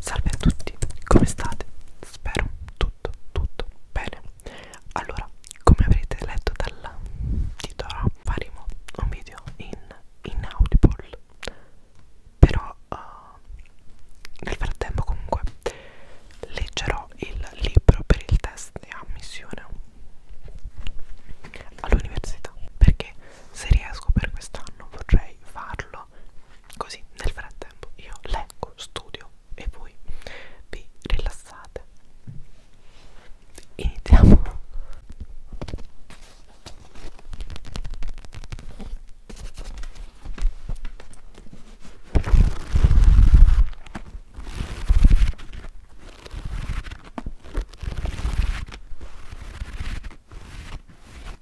Salve a tutti, come state? Spero tutto, tutto bene. Allora, come avrete letto dal titolo, faremo un video in, in Audible. Però uh, nel frattempo comunque leggerò il libro per il test di ammissione all'università perché se riesco per quest'anno vorrei farlo farlo così nel frattempo io leggo, studio e voi vi rilassate iniziamo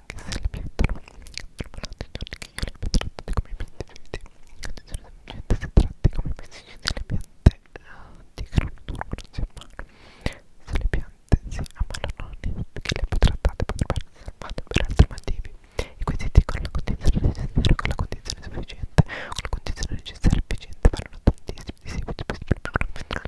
ma anche se le mettono durante i giorni che io le tratti come pesticidi semplicemente si tratti come pesticidi le piante uh, di cratura si ammalano se le piante si ammalano perché le trattate potrebbero essere salvate per altri motivi e quindi dicono la condizione necessaria con la condizione sufficiente con la condizione necessaria efficiente parlano tantissimi di seguito per il problema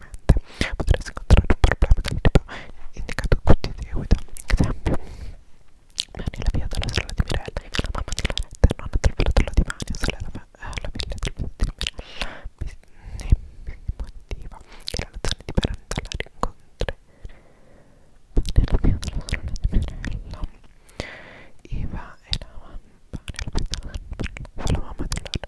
difficilmente potresti incontrare un problema del tipo indicato qui ti seguita. Esempio, Mani la via dalla strada di Mirella, la mamma di Loretta, la nonna del fratello di Mani, solleva eh, la villa del fratello di Mirella, mi motiva che la relazione di Mirella la rincontri. Mani la via dalla strada di Mirella, Iva e la mamma, Mani la via dalla strada di Mirella, la mamma di Loretta.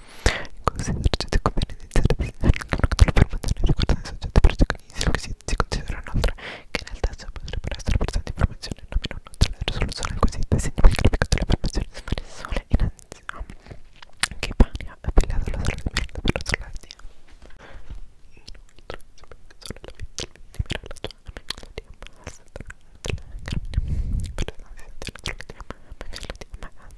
Considera esercizi conviene iniziare a disegnare il numero che per mantenere riguardano i soggetti protagonisti che si, si considerano altre che nel testo potrebbero essere presenti informazioni non minore della risoluzione del quesito segna il grafico delle informazioni di sole in anziano che Pania è affiliata alla sala di merda per la soldatia inoltre si può solo la vita libera la sua amica di abbassa della carne per la sanzione della soldatia ma che la di abbassa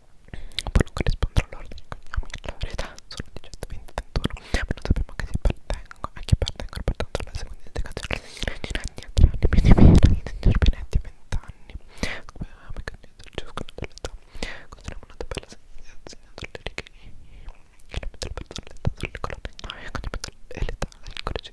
poi non corrispondono all'ordine di cognomi la realtà sono 18, 20, 21 ma non sappiamo che si appartengono a chi appartengono pertanto alla seconda indicazione di anni a 3 anni quindi meno di signor Benetti a 20 anni come avevamo condiviso il ciascuno dell'età consideriamo una tabella segnando le righe che la metà del personale è sulle colonne e l'età è il codice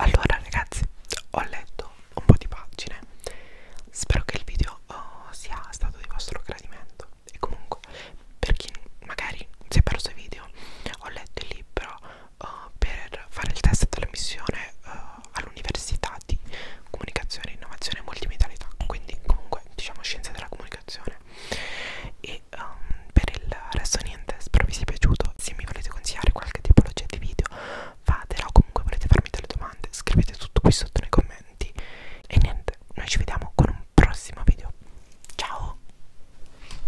Allora ragazzi, ho letto un po' di pagine. Spero che il video oh, sia stato di vostro gradimento. E comunque, per chi magari si è perso i video, ho letto il libro uh, per fare il test dell'emissione uh, all'università di comunicazione, innovazione e multimedialità, quindi comunque diciamo scienze della comunicazione. E um, per il resto niente, spero vi sia piaciuto. Se mi volete consigliare qualche tipologia di video, fatela o comunque volete farmi delle domande, scrivete tutto qui sotto nei commenti. E niente, noi ci vediamo con un prossimo video. Ciao!